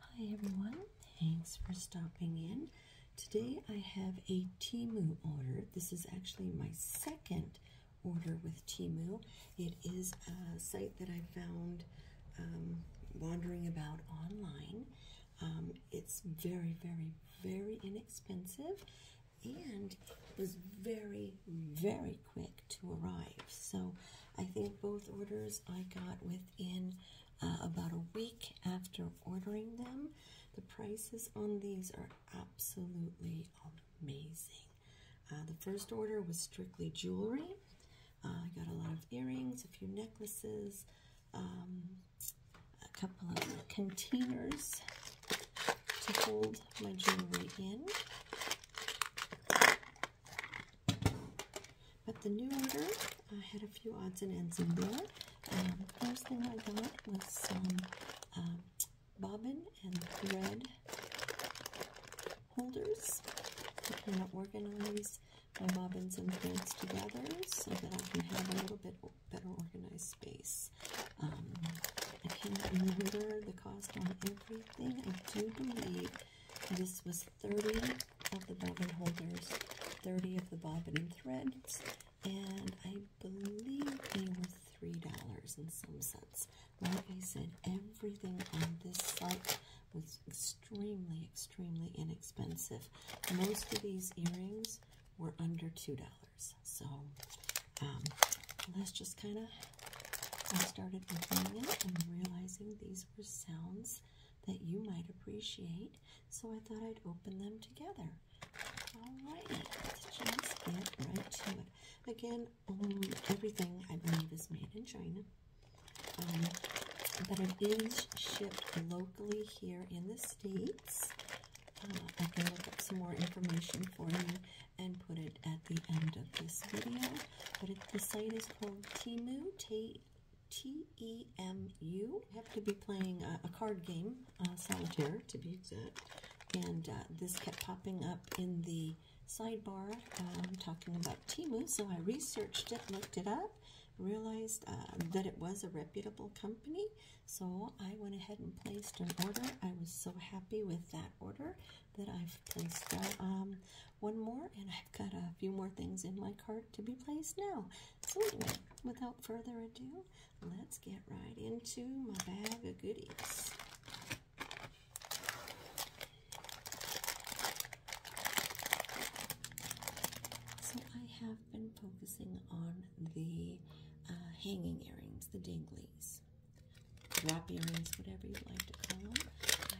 Hi everyone, thanks for stopping in. Today I have a Timu order. This is actually my second order with Timu. It is a site that I found um, wandering about online. Um, it's very, very, very inexpensive and was very, very quick to arrive. So I think both orders I got within uh, about a week after ordering them. The prices on these are absolutely amazing. Uh, the first order was strictly jewelry. Uh, I got a lot of earrings, a few necklaces, um, a couple of containers to hold my jewelry in. But the new order, I had a few odds and ends in there. Um, first thing I got was some um, bobbin and thread holders. to am kind of organize my bobbins and threads together so that I can have a little bit better organized space. Um, I can't remember the cost on everything. I do believe this was 30 of the bobbin holders, 30 of the bobbin and threads, and I believe they were $3 in some sense. Like I said, everything on this site was extremely, extremely inexpensive. Most of these earrings were under $2. So um, let's just kind of, I started opening it and realizing these sounds that you might appreciate. So I thought I'd open them together. Alright, let's just get right to it. Again, um, everything I believe is made in China. Um, but it is shipped locally here in the States. Uh, I can look up some more information for you and put it at the end of this video but the site is called Temu, T T E M U. I have to be playing a, card game, uh, solitaire to be exact, and uh, this kept popping up in the sidebar um, talking about Temu. So I researched it, looked it up, realized uh, that it was a reputable company. So I went ahead and placed an order. I was so happy with that order that I've placed now. Um, one more, and I've got a few more things in my cart to be placed now. So anyway, without further ado, let's get right into my bag of goodies. So I have been focusing on the uh, hanging earrings, the dinglies, wrap earrings, whatever you'd like to call them.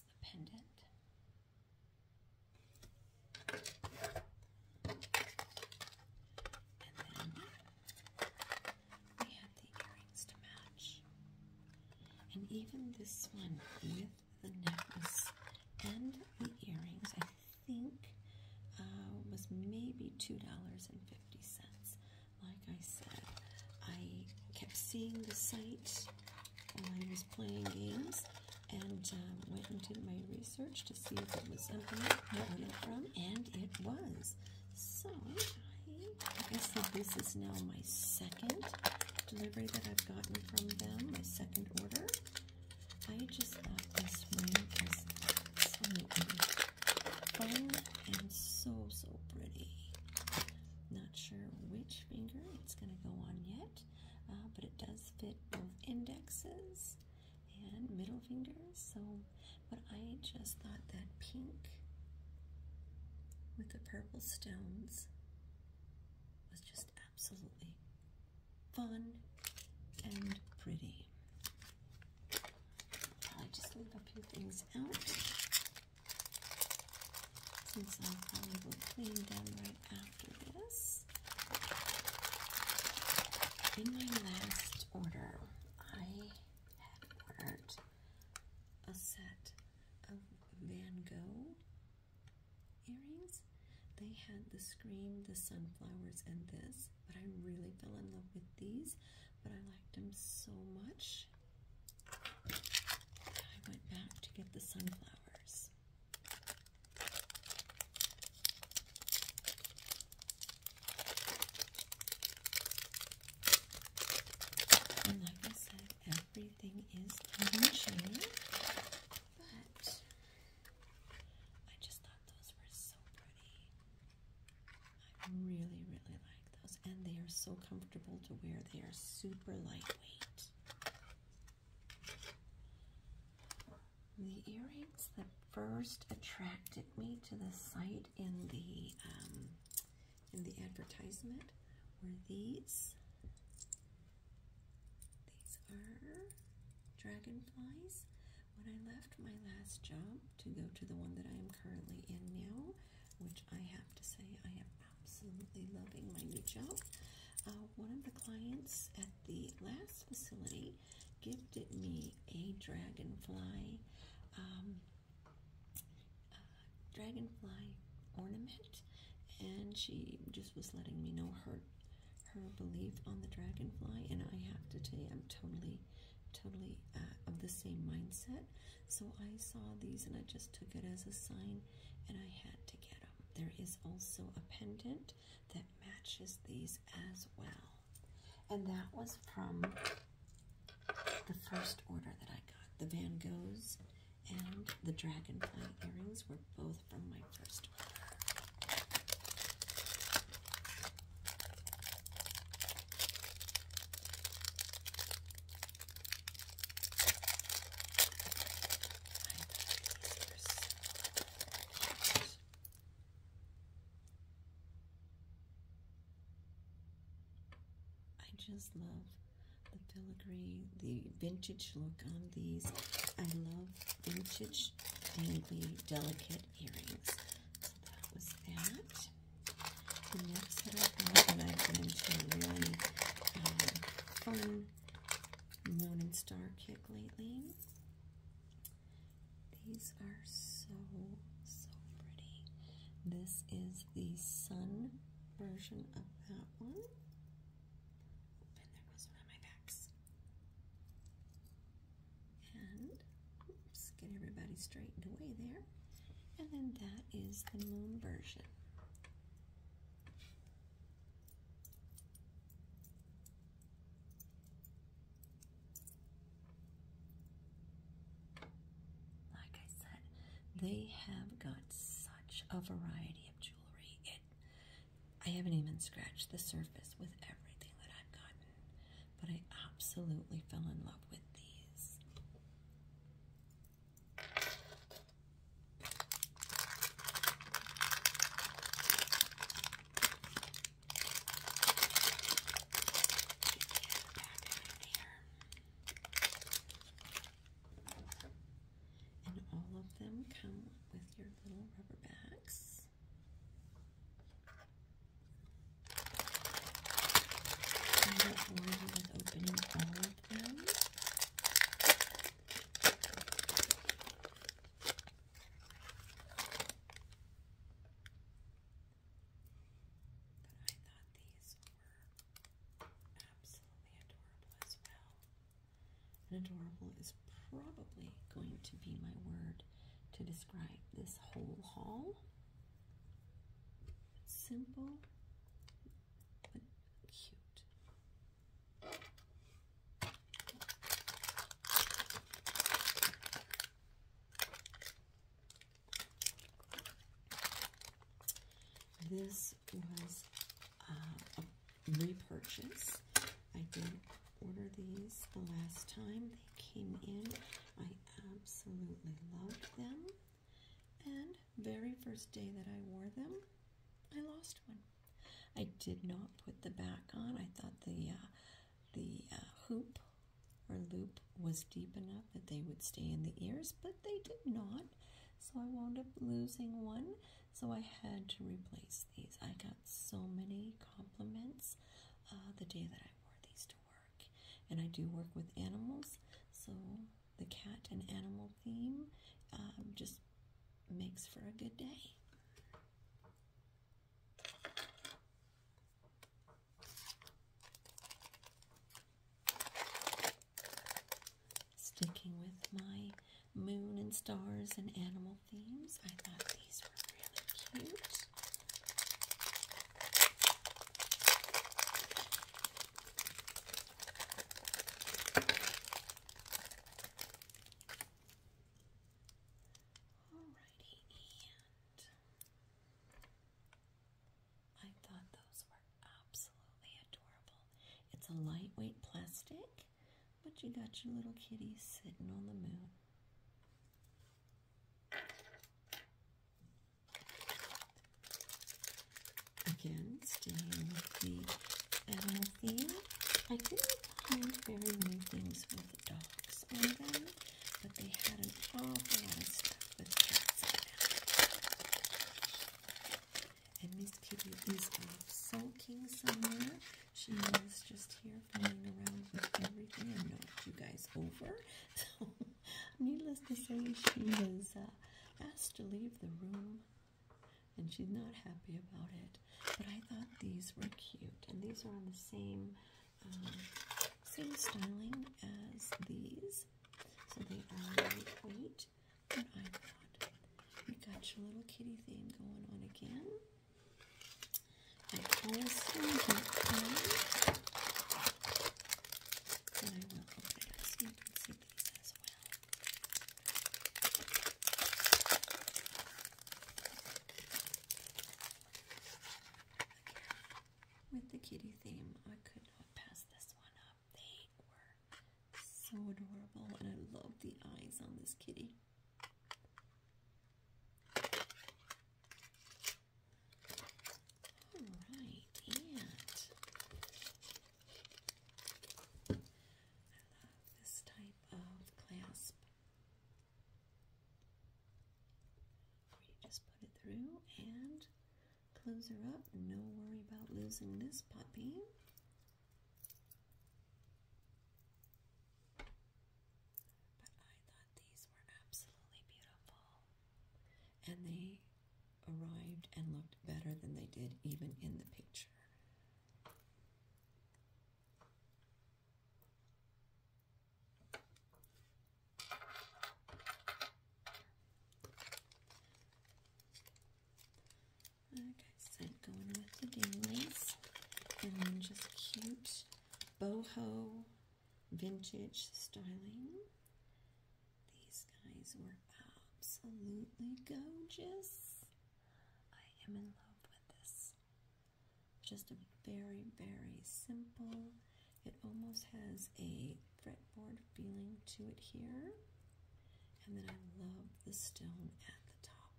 the pendant. And then we have the earrings to match. And even this one with the necklace and the earrings, I think, uh, was maybe $2.50. Like I said, I kept seeing the site I was playing games and um, went and did my research to see if it was something that I from, and it was. So I guess that this is now my second delivery that I've gotten from them, my second order. I just thought this one was so fun and so, so pretty. Not sure which finger. It's going to go on yet, uh, but it does fit both indexes and middle fingers. So, but I just thought that pink with the purple stones was just absolutely fun and pretty. I just leave a few things out since i am probably to clean them right after this. In my last order, I had ordered a set of Van Gogh earrings. They had the scream, the sunflowers, and this, but I really fell in love with these, but I liked them so much I went back to get the sunflowers. And like I said, everything is changing, but I just thought those were so pretty. I really, really like and they are so comfortable to wear. They are super lightweight. The earrings that first attracted me to the site in the um, in the advertisement were these. These are dragonflies. When I left my last job to go to the one that I am currently in now, which I have to say, I am absolutely loving my new job. Uh, one of the clients at the last facility gifted me a dragonfly, um, uh, dragonfly ornament, and she just was letting me know her her belief on the dragonfly. And I have to tell you, I'm totally, totally uh, of the same mindset. So I saw these and I just took it as a sign and I had to get them. There is also a pendant that matches these as well. And that was from the first order that I got. The Van Goghs and the Dragonfly earrings were both from my first order. I just love the filigree, the vintage look on these. I love vintage dainty, delicate earrings. So that was that the next that I got, and I've been into a really um, fun moon and star kick lately. These are so, so pretty. This is the sun version of that one. And there goes one on my backs. And, get everybody straightened away there. And then that is the moon version. Like I said, they have got such a variety of jewelry. I haven't even scratched the surface with everything that I've gotten, but I absolutely fell in love with these. And all of them come with your little rubber backs. But I thought these were absolutely adorable as well. adorable is probably going to be my word to describe this whole haul. Simple, cute. This was uh, a repurchase. I did order these the last time they came in. I absolutely loved them. And very first day that I wore them, I lost one. I did not put the back on. I thought the uh, the uh, hoop or loop was deep enough that they would stay in the ears, but they did not. So I wound up losing one. So I had to replace these. I got so many compliments uh, the day that I wore these to work, and I do work with animals, so the cat and animal theme um, just makes for a good day. Sticking with my moon and stars and animal themes, I thought these were really cute. Alrighty, I thought those were absolutely adorable. It's a lightweight plastic, but you got your little kitty sitting on the moon. Again, staying with the animal theme. I didn't find very many things with dogs on them, but they had an awful lot of stuff with cats And Miss Kitty is off sulking somewhere. She was just here playing around with everything and knocked you guys over. Needless to say, she was uh, asked to leave the room, and she's not happy about it. But I thought these were cute, and these are on the same um, same styling as these, so they are lightweight. And I thought you got your little kitty theme going on again with the kitty theme, I could not pass this one up. They were so adorable, and I love the eyes on this kitty. All right, and I love this type of clasp just put it through and close her up. No worry about losing this puppy. But I thought these were absolutely beautiful and they arrived and looked better than they did even in the picture. Like I said, going with the dingleys. And then just cute boho vintage styling. These guys were absolutely gorgeous. I am in love with this. Just a very, very simple. It almost has a fretboard feeling to it here. And then I love the stone at the top.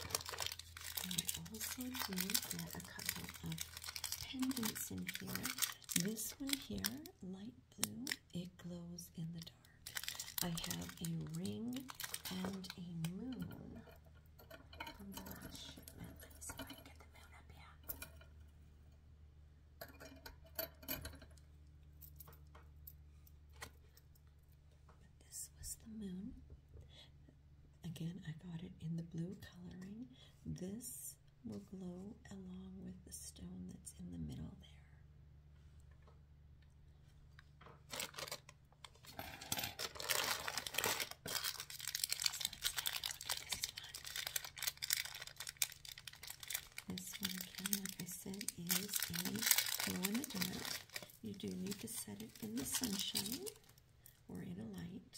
I also do get a couple of pendants in here. This one here, light blue, it glows in the dark. I have a ring and a moon this was the moon. Again, I got it in the blue coloring. This will glow along with the stone that's in the middle there. this one. like I said, is a glow in the dark. You do need to set it in the sunshine or in a light.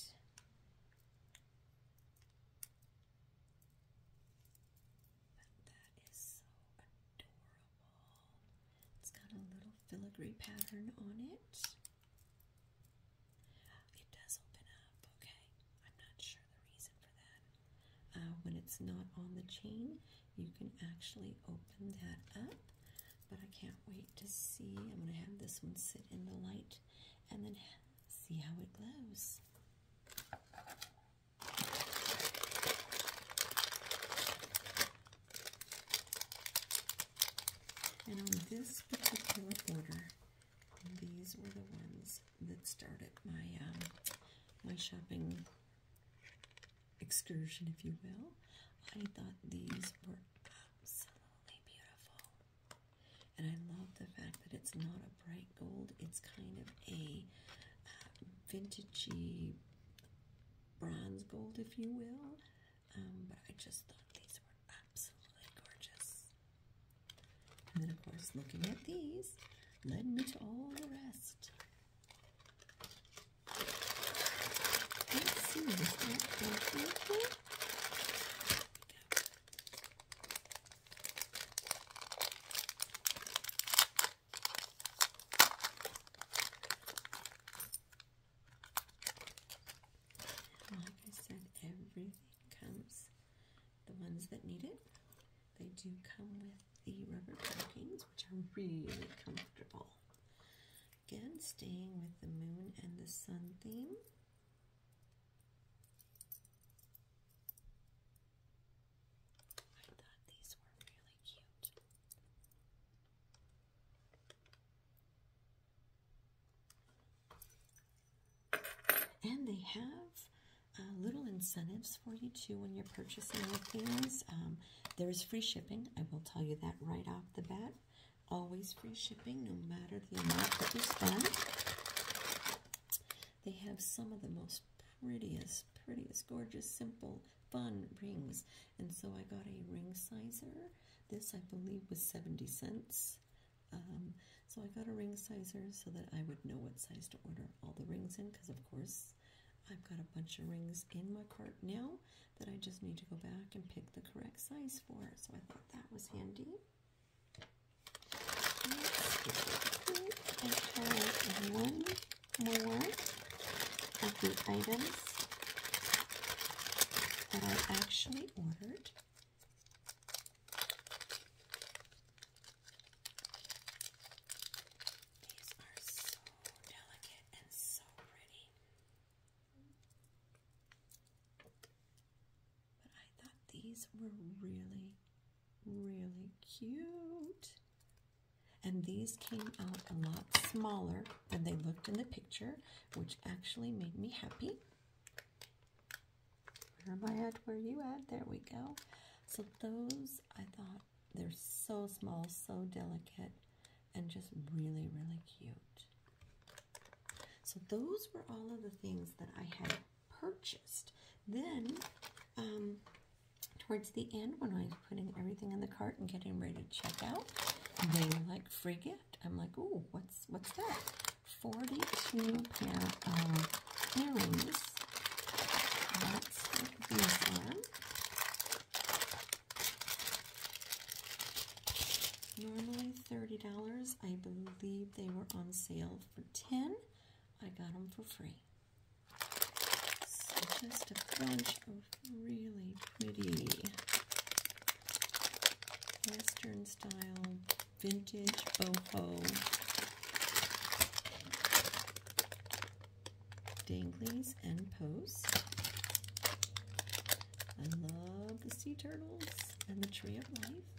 that is so adorable. It's got a little filigree pattern on it. It does open up, okay. I'm not sure the reason for that. Uh, when it's not on the chain, you can actually open that up. But I can't wait to see. I'm going to have this one sit in the light and then see how it glows. And on this particular order, these were the ones that started my um, my shopping excursion, if you will. I thought these were absolutely beautiful. And I love the fact that it's not a bright gold, it's kind of a uh, vintagey bronze gold, if you will. Um, but I just thought these were absolutely gorgeous. And then, of course, looking at these led me to all the rest. Like I said, everything comes. The ones that need it, they do come with the rubber stockings, which are really comfortable. Again, staying with the moon and the sun theme. I thought these were really cute. And they have uh, little incentives for you too when you're purchasing things. Um, there is free shipping. I will tell you that right off the bat. Always free shipping, no matter the amount that you spend. They have some of the most prettiest, prettiest, gorgeous, simple, fun rings. And so I got a ring sizer. This, I believe, was 70 cents. Um, so I got a ring sizer so that I would know what size to order all the rings in because, of course, I've got a bunch of rings in my cart now that I just need to go back and pick the correct size for. So I thought that was handy. Let's one more of the items that I actually ordered. These are so delicate and so pretty. But I thought these were really, really cute. And these came out a lot smaller than they looked in the picture, which actually made me happy. Where am I at? Where are you at? There we go. So those I thought they're so small, so delicate, and just really, really cute. So those were all of the things that I had purchased. Then, um, towards the end, when I was putting everything in the cart and getting ready to check out, they like, free gift. I'm like, oh, what's, what's that? 42 pair of earrings. That's what these are. Normally $30. I believe they were on sale for 10 I got them for free. just a bunch of really pretty Western style vintage boho danglies and post. I love the sea turtles and the tree of life.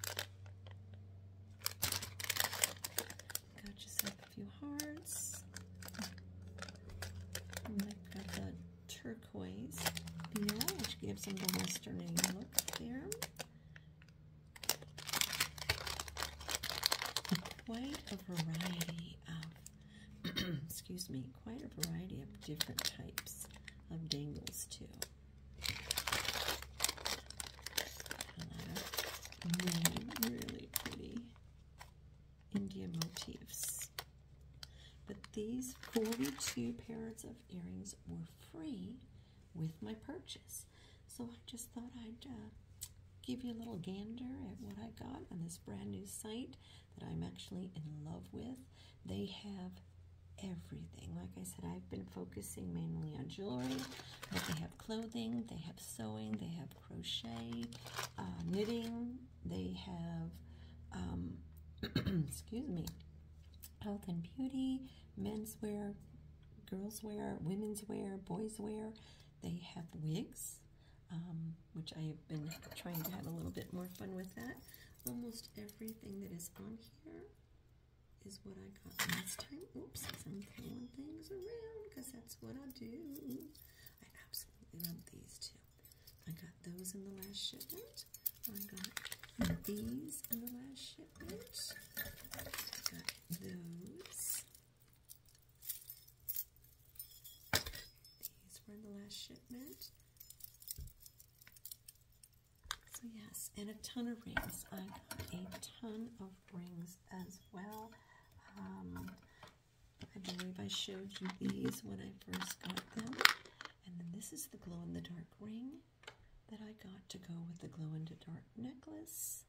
Got yourself a few hearts. the turquoise which gives them the western look there. Quite a variety. excuse me, quite a variety of different types of dangles too. Many really pretty India motifs. But these 42 pairs of earrings were free with my purchase. So I just thought I'd uh, give you a little gander at what I got on this brand new site that I'm actually in love with. They have everything. Like I said, I've been focusing mainly on jewelry, but they have clothing, they have sewing, they have crochet, uh, knitting, they have, um, excuse me, health and beauty, menswear, girls wear, women's wear, boys wear. They have wigs, um, which I've been trying to have a little bit more fun with that. Almost everything that is on here is what I got last time. Oops, I'm throwing things around because that's what I do. I absolutely love these too. I got those in the last shipment. I got these in the last shipment. I got those. These were in the last shipment. So yes, and a ton of rings. I got a ton of rings as well. Um, I believe I showed you these when I first got them. And then this is the glow-in-the-dark ring that I got to go with the glow-in-the-dark necklace.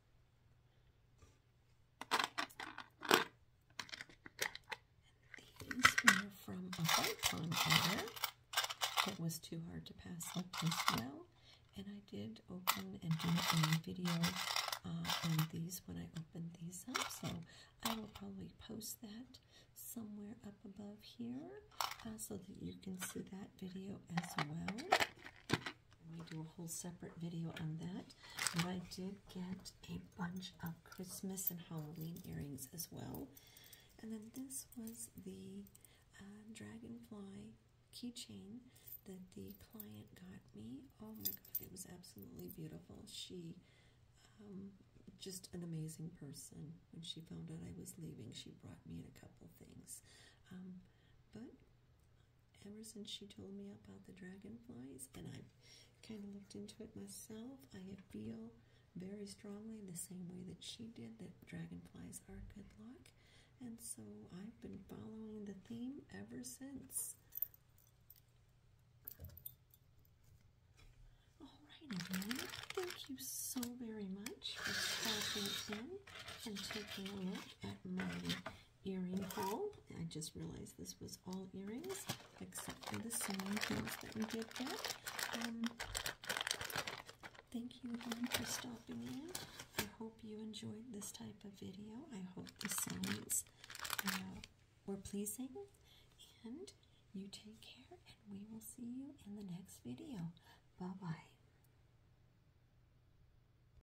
And these were from a Bonpon order that was too hard to pass up as well. And I did open and do a video uh, on these when I opened these up. So I will probably post that somewhere up above here uh, so that you can see that video as well. We do a whole separate video on that. But I did get a bunch of Christmas and Halloween earrings as well. And then this was the uh, dragonfly keychain that the client got me. Oh my god, it was absolutely beautiful. She, um, just an amazing person. When she found out I was leaving, she brought me in a couple things. Um, but ever since she told me about the dragonflies, and I've kind of looked into it myself, I feel very strongly the same way that she did that dragonflies are good luck. And so I've been following the theme ever since. Alright everyone, thank you so very much for stopping in and taking a look at my earring haul. I just realized this was all earrings except for the sewing tools that we did get. Um, thank you for stopping in. I hope you enjoyed this type of video. I hope the sounds uh, were pleasing. And you take care, and we will see you in the next video. Bye-bye.